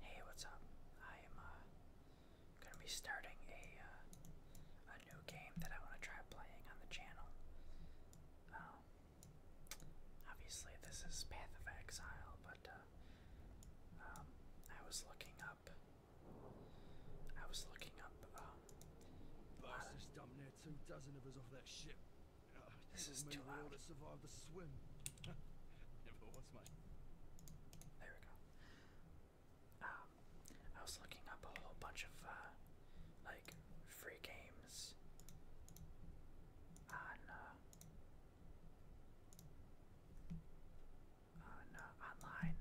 Hey, what's up? I am uh, gonna be starting a uh, a new game that I want to try playing on the channel. Um, obviously, this is Path of Exile, but uh, um, I was looking up. I was looking up. Um, two dozen of us off that ship. Oh, this is too loud. To survive the swim. Never was my. There we go. Um, I was looking up a whole bunch of uh, like free games on uh, on uh, online.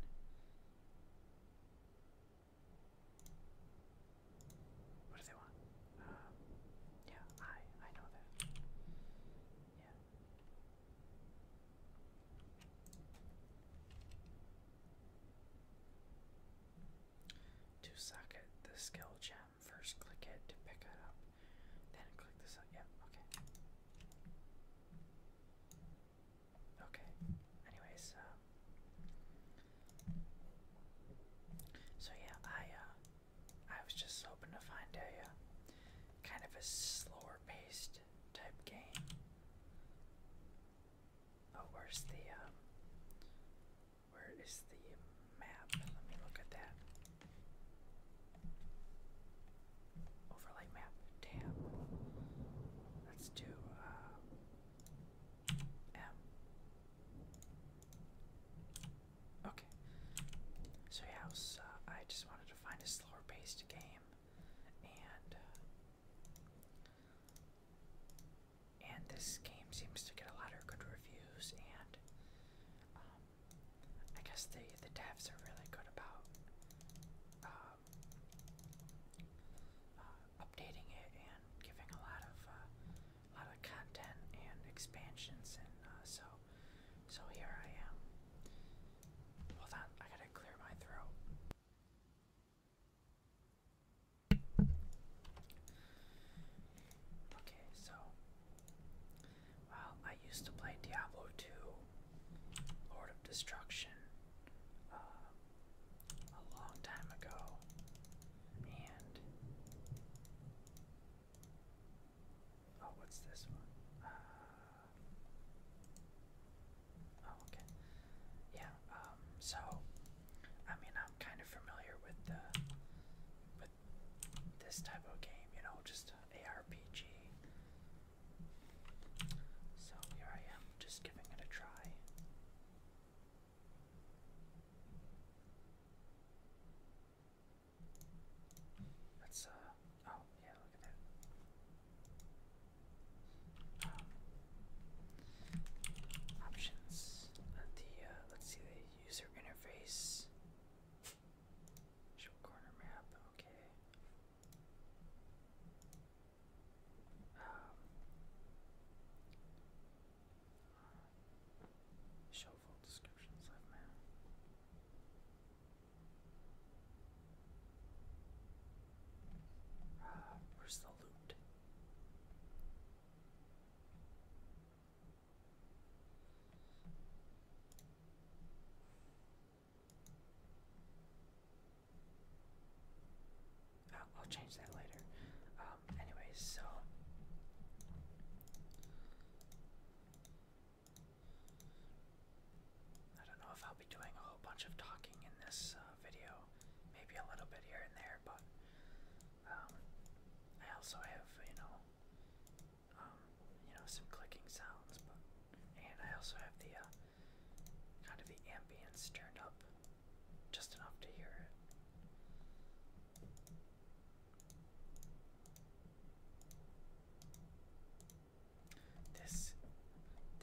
What do they want? Um, yeah, I I know that. Yeah. To socket the skill gem, first click it to pick it up, then click this up. yeah, okay. Okay. Anyways, um, so yeah, I uh, I was just hoping to find a uh, kind of a slower paced type game. Oh, where's the um, where is the map? Let me look at that. Overlay map. Damn. Let's do uh um, okay. So yeah, I, was, uh, I just wanted to find a slower-paced game, and uh, and this game seems to get a lot of good reviews, and um, I guess the the devs are really good about um, uh, updating it and giving a lot of a uh, lot of content and expansions and uh, so so here I am. Hold on, I gotta clear my throat. Okay, so well, I used to play Diablo 2, Lord of Destruction, um, a long time ago, and oh, what's this one? Uh, oh, okay, yeah. Um, so I mean, I'm kind of familiar with the with this type of game, you know, just ARPG. So here I am, just giving it a try. That's uh oh yeah, look at that. Um, options. Uh, the uh, let's see the user interface. Show corner map. Okay show full descriptions uh, where's the loot? I'll, change that later. Um, anyways, so. I don't know if I'll be doing a whole bunch of talking in this uh, video, maybe a little bit here and there, but um, I also have, you know, um, you know, some clicking sounds, and I also have the uh, kind of the ambience turned up just enough to hear it. This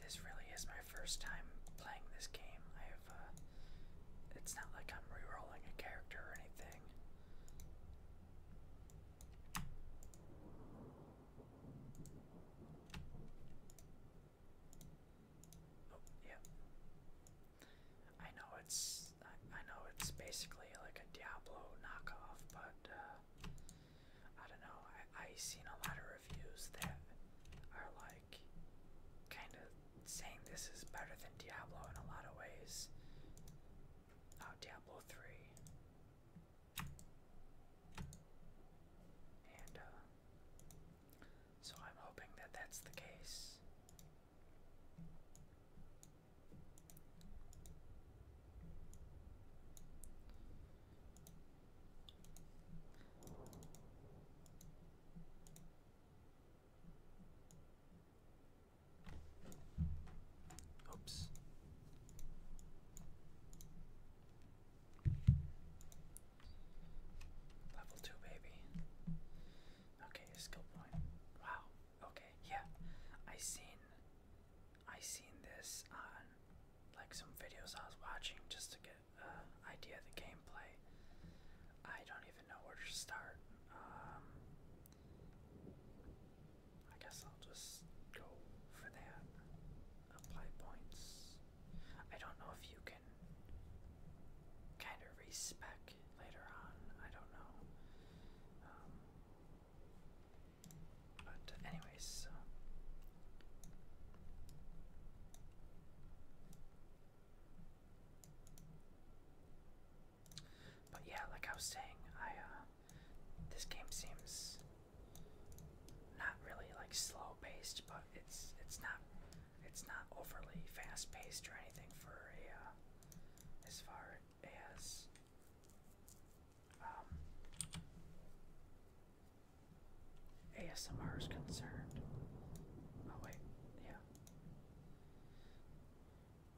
this really is my first time playing this game. I have uh, it's not like I'm re-rolling a character or anything. Oh, yeah. I know it's I, know it's basically like a Diablo knockoff, but uh, I don't know. I I seen a lot of reviews that are like kind of saying this is better than Diablo in a lot of ways. Uh, Diablo three. And uh, so I'm hoping that that's the case. Oops. Level two, baby. Okay, skill point. Wow. Okay, yeah. I seen, I seen this on like some videos I was watching just to get an idea of the gameplay. I don't even know where to start. Um, I guess I'll just go for that apply points. I don't know if you can kind of respec later on. I don't know. Um, but anyways, so. But yeah, like I was saying, I uh, this game seems not really like slow paced, but it's it's not it's not overly fast paced or anything for a uh, as far as um, ASMR is concerned. Oh wait, yeah.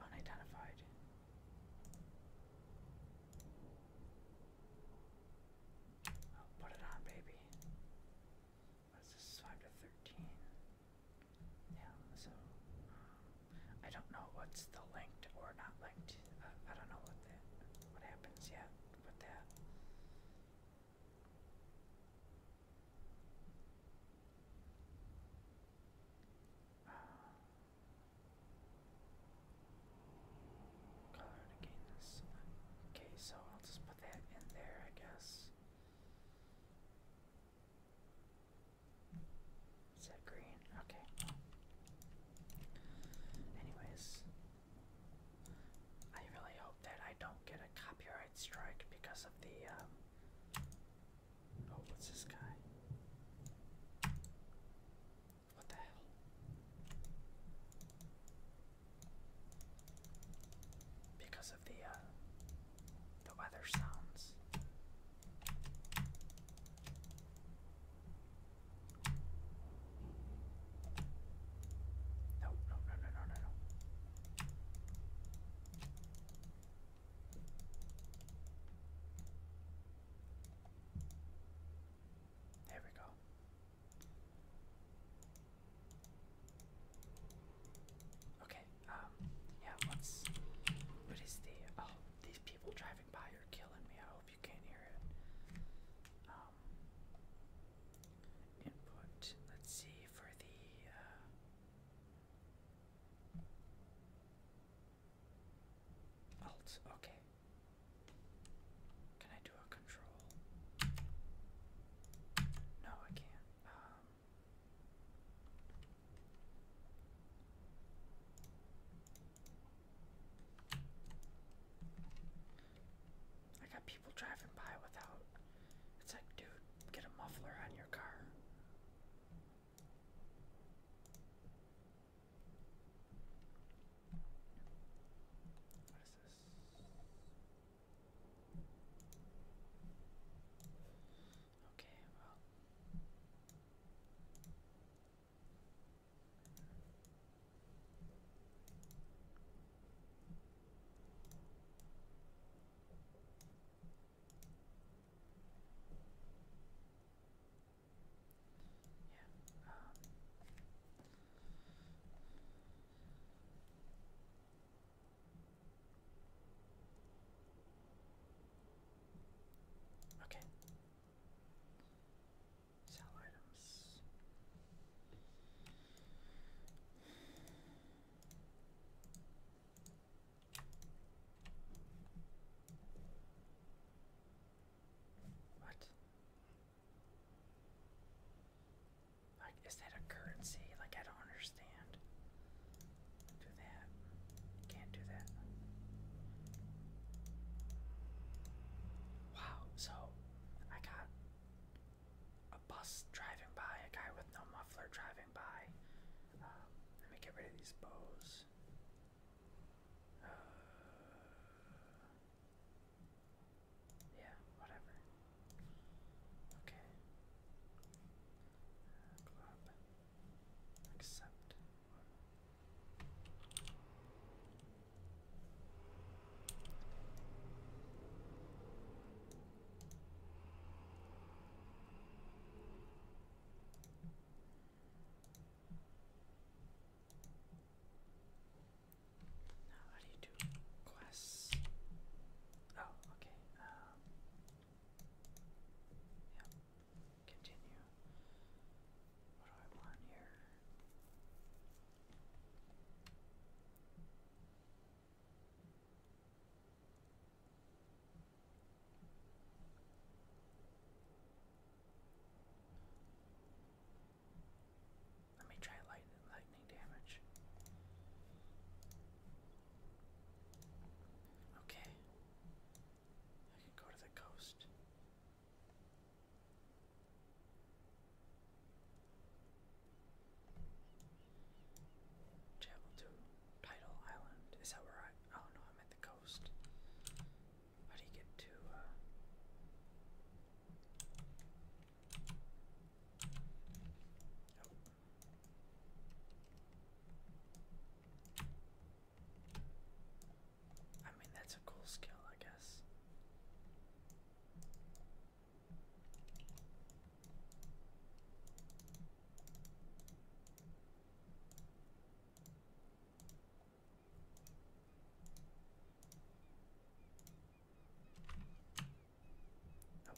Unidentified put it on, baby. What is this? 5 to 13. Yeah, so I don't know what's the linked or not linked. I don't know what that what happens yet with that. Uh, Okay, so I'll just put that in there, I guess. Is that green? Okay. Anyways, I really hope that I don't get a copyright strike because of the. Um, oh, what's this guy? What the hell? because of the uh, the other sounds. No, no, no, no, no, no, no. There we go. Okay, um, yeah, let's. is the. Oh, these people driving by are killing me. I hope you can't hear it. Um, input. Let's see for the. Uh, Alt, okay. Can I do a control? No, I can't. Um, I got people driving by without. It's like, dude, get a muffler on your car. What is this? Okay, well. Yeah, Okay. Sell items. What? Like, is that a currency? Like, I don't understand. Do that. Can't do that. Wow, so I got a bus driving by, a guy with no muffler driving by. Um, let me get rid of these bows. Uh, yeah, whatever. Okay. club. Uh, accept how do you do quests? Oh, okay. Um, Continue. What do I want here? Let me try lightning damage. Okay. I can go to the coast. Travel to Tidal Island. Is that where I? Oh no, I'm at the coast. Uh, I mean, that's a cool skill, I guess. Oh.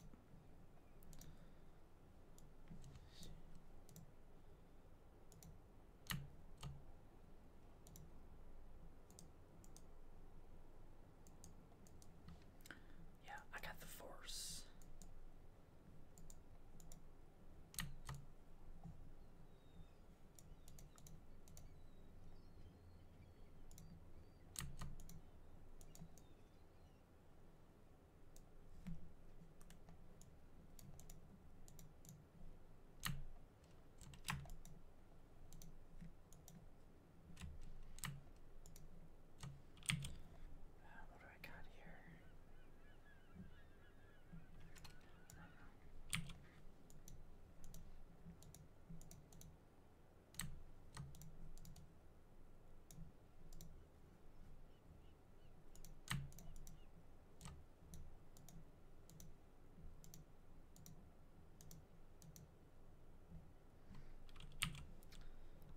Yeah, I got the force. Uh, what do I got here? I don't know.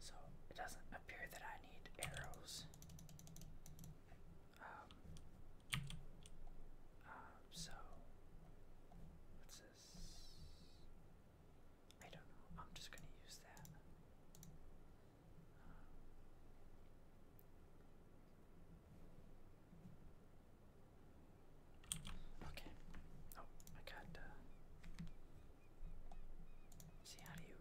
So it doesn't appear that I need arrows um, um, so, what's this? I don't know. I'm just going to use that. Um, okay. Oh, I got. Uh, see, how do you.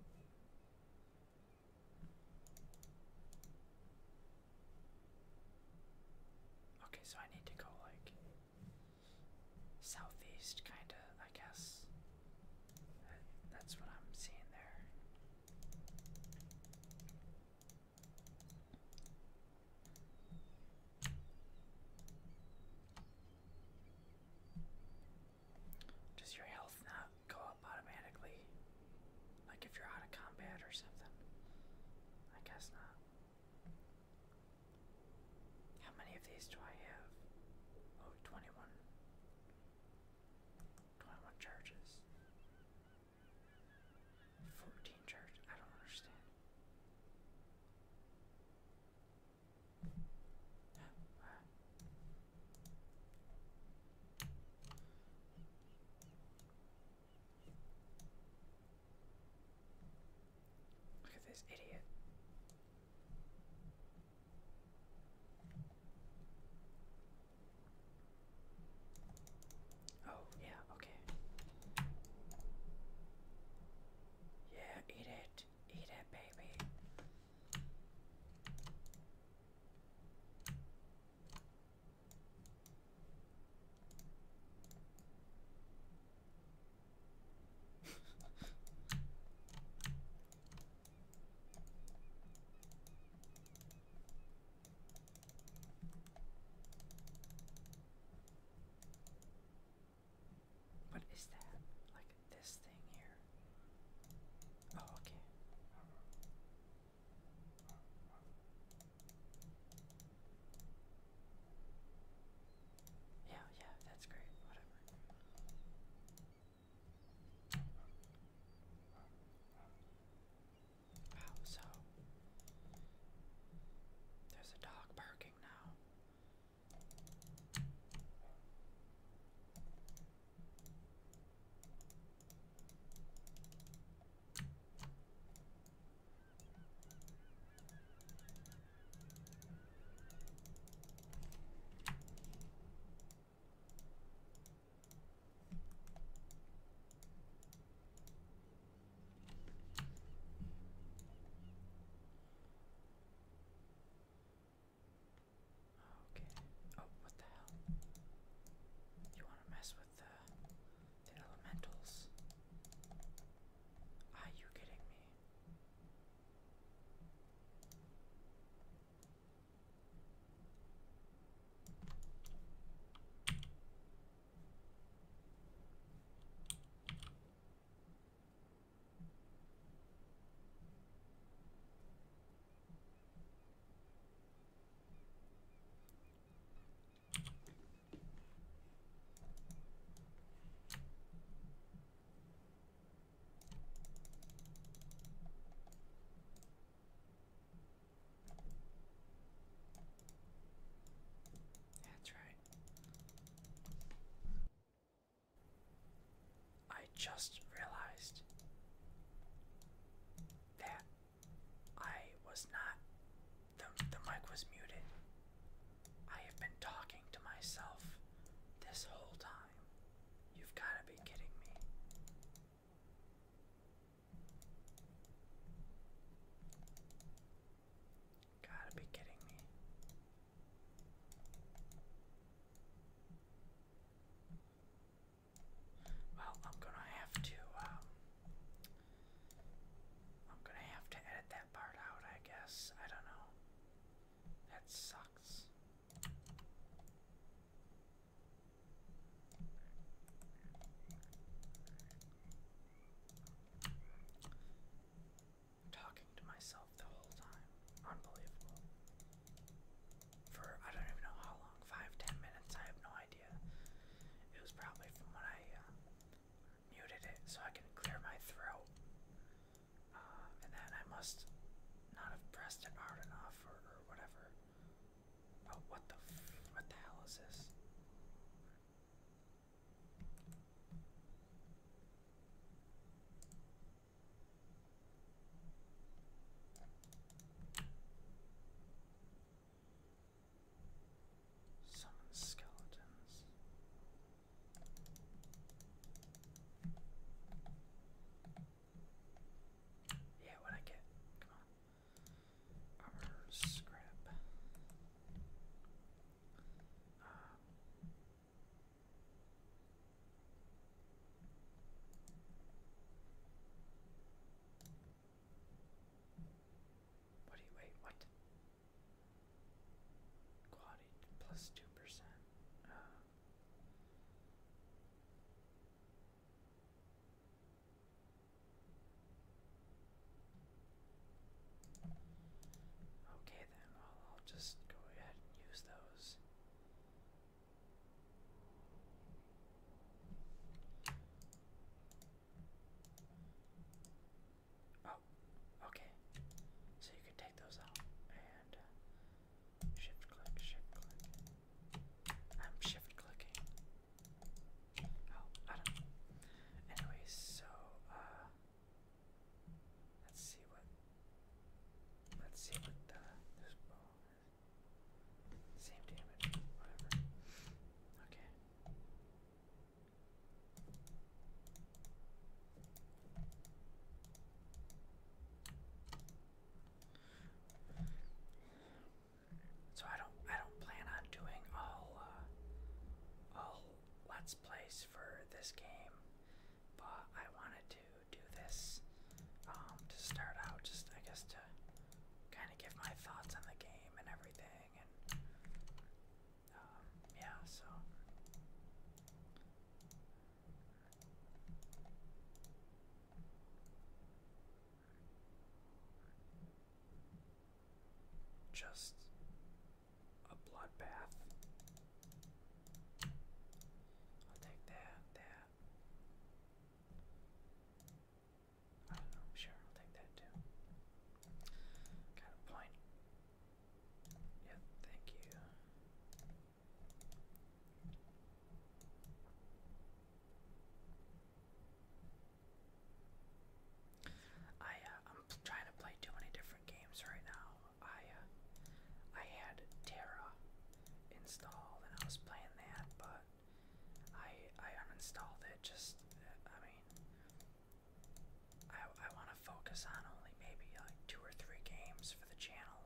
Okay, so I need to go like southeast, kinda, I guess. that's what I'm seeing there. Does your health not go up automatically? Like if you're out of combat or something. I guess not. How many of these do I have? Oh, 21 charges. 14 charges. I don't understand. Look at this idiot. Oh, yeah, okay. Yeah, eat it. Eat it, baby what is that? Like this thing here? Oh, okay. Yeah, yeah, that's great. Whatever. Wow, so there's a dog barking now. Okay. Oh, what the hell? You want to mess with the, elementals. Are you kidding me? That's right. I just realized that I was not. The, the mic was muted. I have been talking to myself this whole time. You've got to be kidding me. Gotta be kidding me. Well, I'm gonna have to, um, I'm gonna have to edit that part out, I guess. I don't know. That sucks. talking to myself the whole time. Unbelievable for I don't even know how long, five, ten minutes, I have no idea. It was probably from when I uh, muted it so I can clear my throat. Uh, and then I must not have pressed it hard enough or, whatever. Oh, what the what the hell is this? Summon skeletons. Yeah, what I get? Come on. Armor what do you wait? What? Quality plus two percent. Oh. Okay then, I'll just go ahead and use those. Oh, okay. So you can take those out and uh, shift click, shift click. I'm shift clicking. Oh, I don't know. Anyways, so uh let's see what let's see what uh, the same damage, whatever. Okay. So I don't I don't plan on doing all uh, all let's plays for this game, but I wanted to do this um, to start out, just I guess to kind of give my thoughts on the game and everything, and um, yeah, so. Just a bloodbath. I'll take that, that, I don't know, sure, I'll take that too. Got a point. Yep, thank you. I uh, I'm trying to play too many different games right now. I uh, I had Terra installed, and I was playing that, but I I uninstalled it. Just I mean, I I want to focus on only maybe like two or three games for the channel.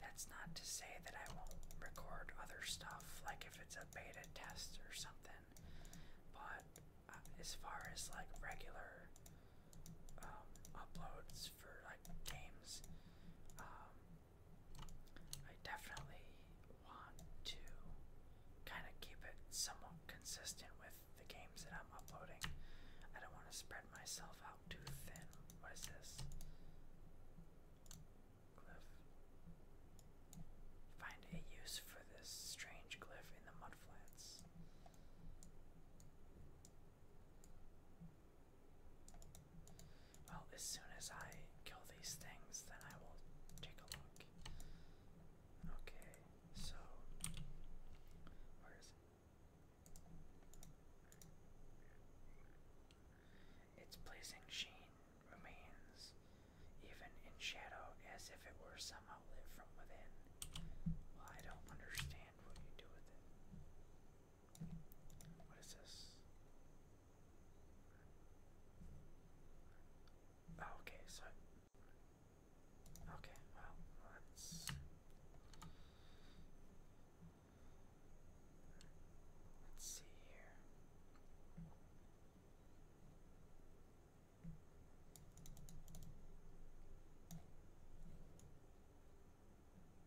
That's not to say that I won't record other stuff, like if it's a beta test or something. But uh, as far as like regular um, uploads for like games, um, I definitely want to kind of keep it somewhat consistent with the games that I'm uploading. I don't want to spread myself out too thin. What is this? Glyph. Find a use for this strange glyph in the mudflats. Well, as soon as I kill these things, then I will take a look. Okay, so. Where is it? It's placing Sheen remains, even in shadow, as if it were some outlet from within. Well, I don't understand what you do with it. What is this? Oh, okay, so. Okay, well, let's. Let's see here.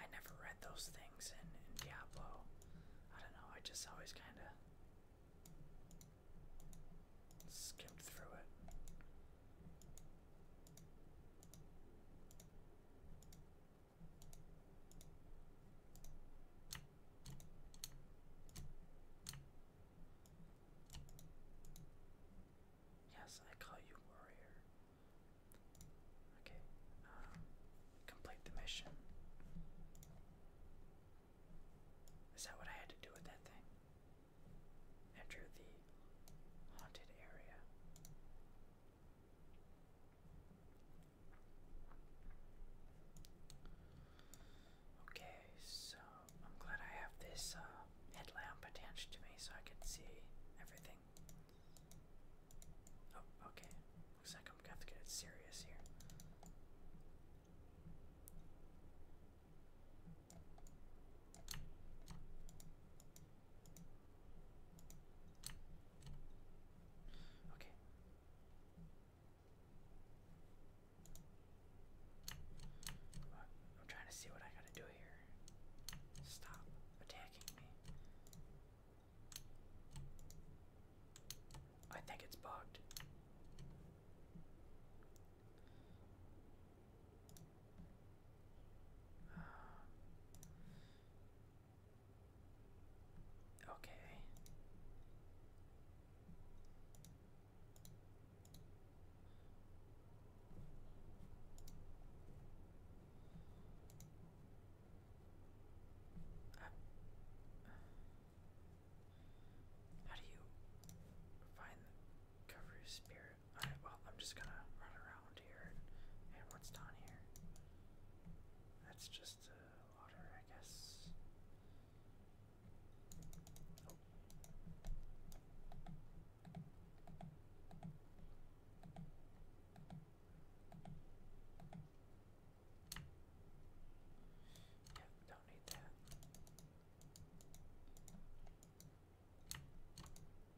I never read those things in, Diablo. I don't know, I just always kind of skimmed through it. Yes, I call you warrior. Okay, um, complete the mission. Is that what I had to do with that thing? Enter the haunted area. Okay, so I'm glad I have this uh, headlamp attached to me so I can see everything. Oh, okay. Looks like I'm going to get serious here. Okay. I'm trying to see what I gotta do here. Stop attacking me. I think it's bugged. Okay. how do you find the cover spirit? Alright, well, I'm just gonna run around and what's down here. That's just uh, water, I guess. Yeah, don't need that.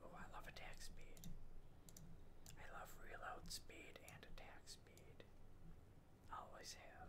Oh, I love attack speed. I love reload speed and attack speed always have.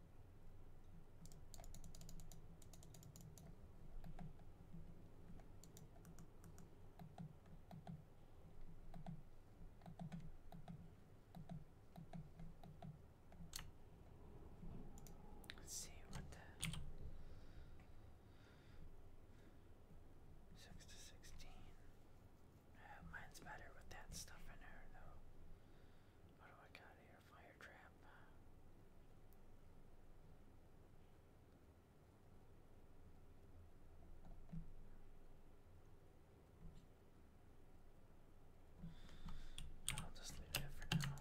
Let's see what six to sixteen. Uh, mine's better with that stuff in there, though. What do I got here? fire trap. I'll just leave it for now.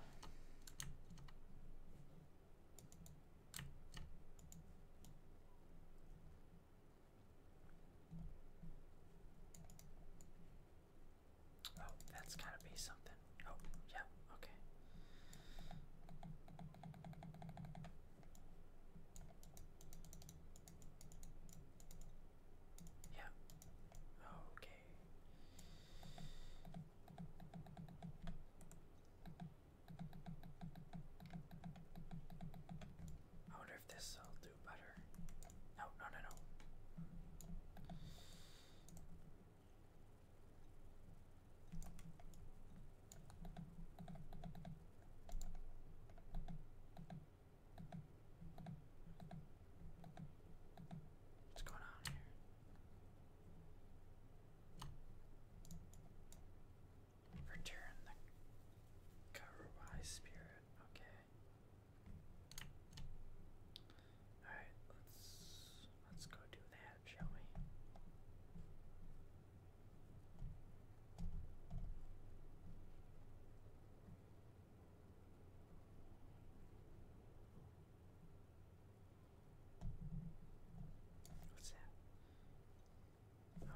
Oh, that's gotta be something. Oh, yeah, okay. Yeah. Okay. I wonder if this will no, no, no, no. What's going on here? Return the Karuai spirit, okay. Alright, let's let's go do that, shall we? What's that?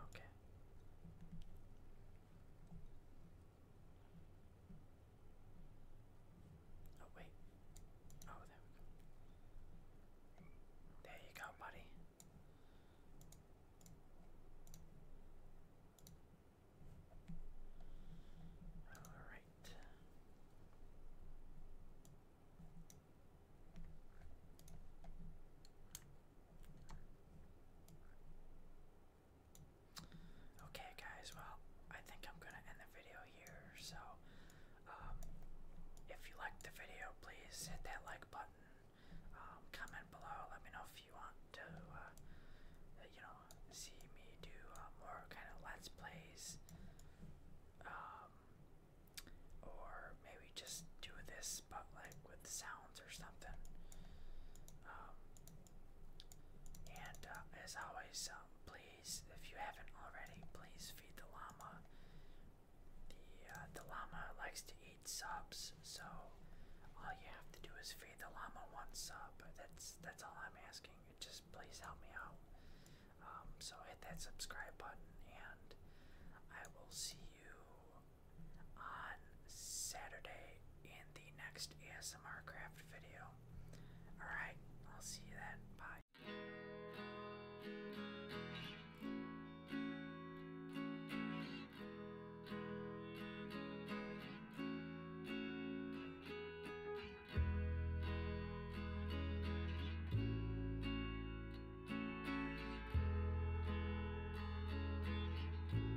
Okay. Oh, wait. Oh, there we go. There you go, buddy. All right. Okay, guys, well, I think I'm gonna end the video here. So, um, if you liked the video, please hit that like button. Um, comment below, let me know if you want to, uh, you know, see me do uh, more kind of let's plays. Um, or maybe just do this, but like with sound um, and uh, as always, uh, please, if you haven't already, please feed the llama. The, uh, the llama likes to eat subs, so all you have to do is feed the llama one sub. That's that's all I'm asking. Just please help me out. Um, so hit that subscribe button, and I will see you on Saturday in the next ASMR craft video. Alright, I'll see you then. Bye.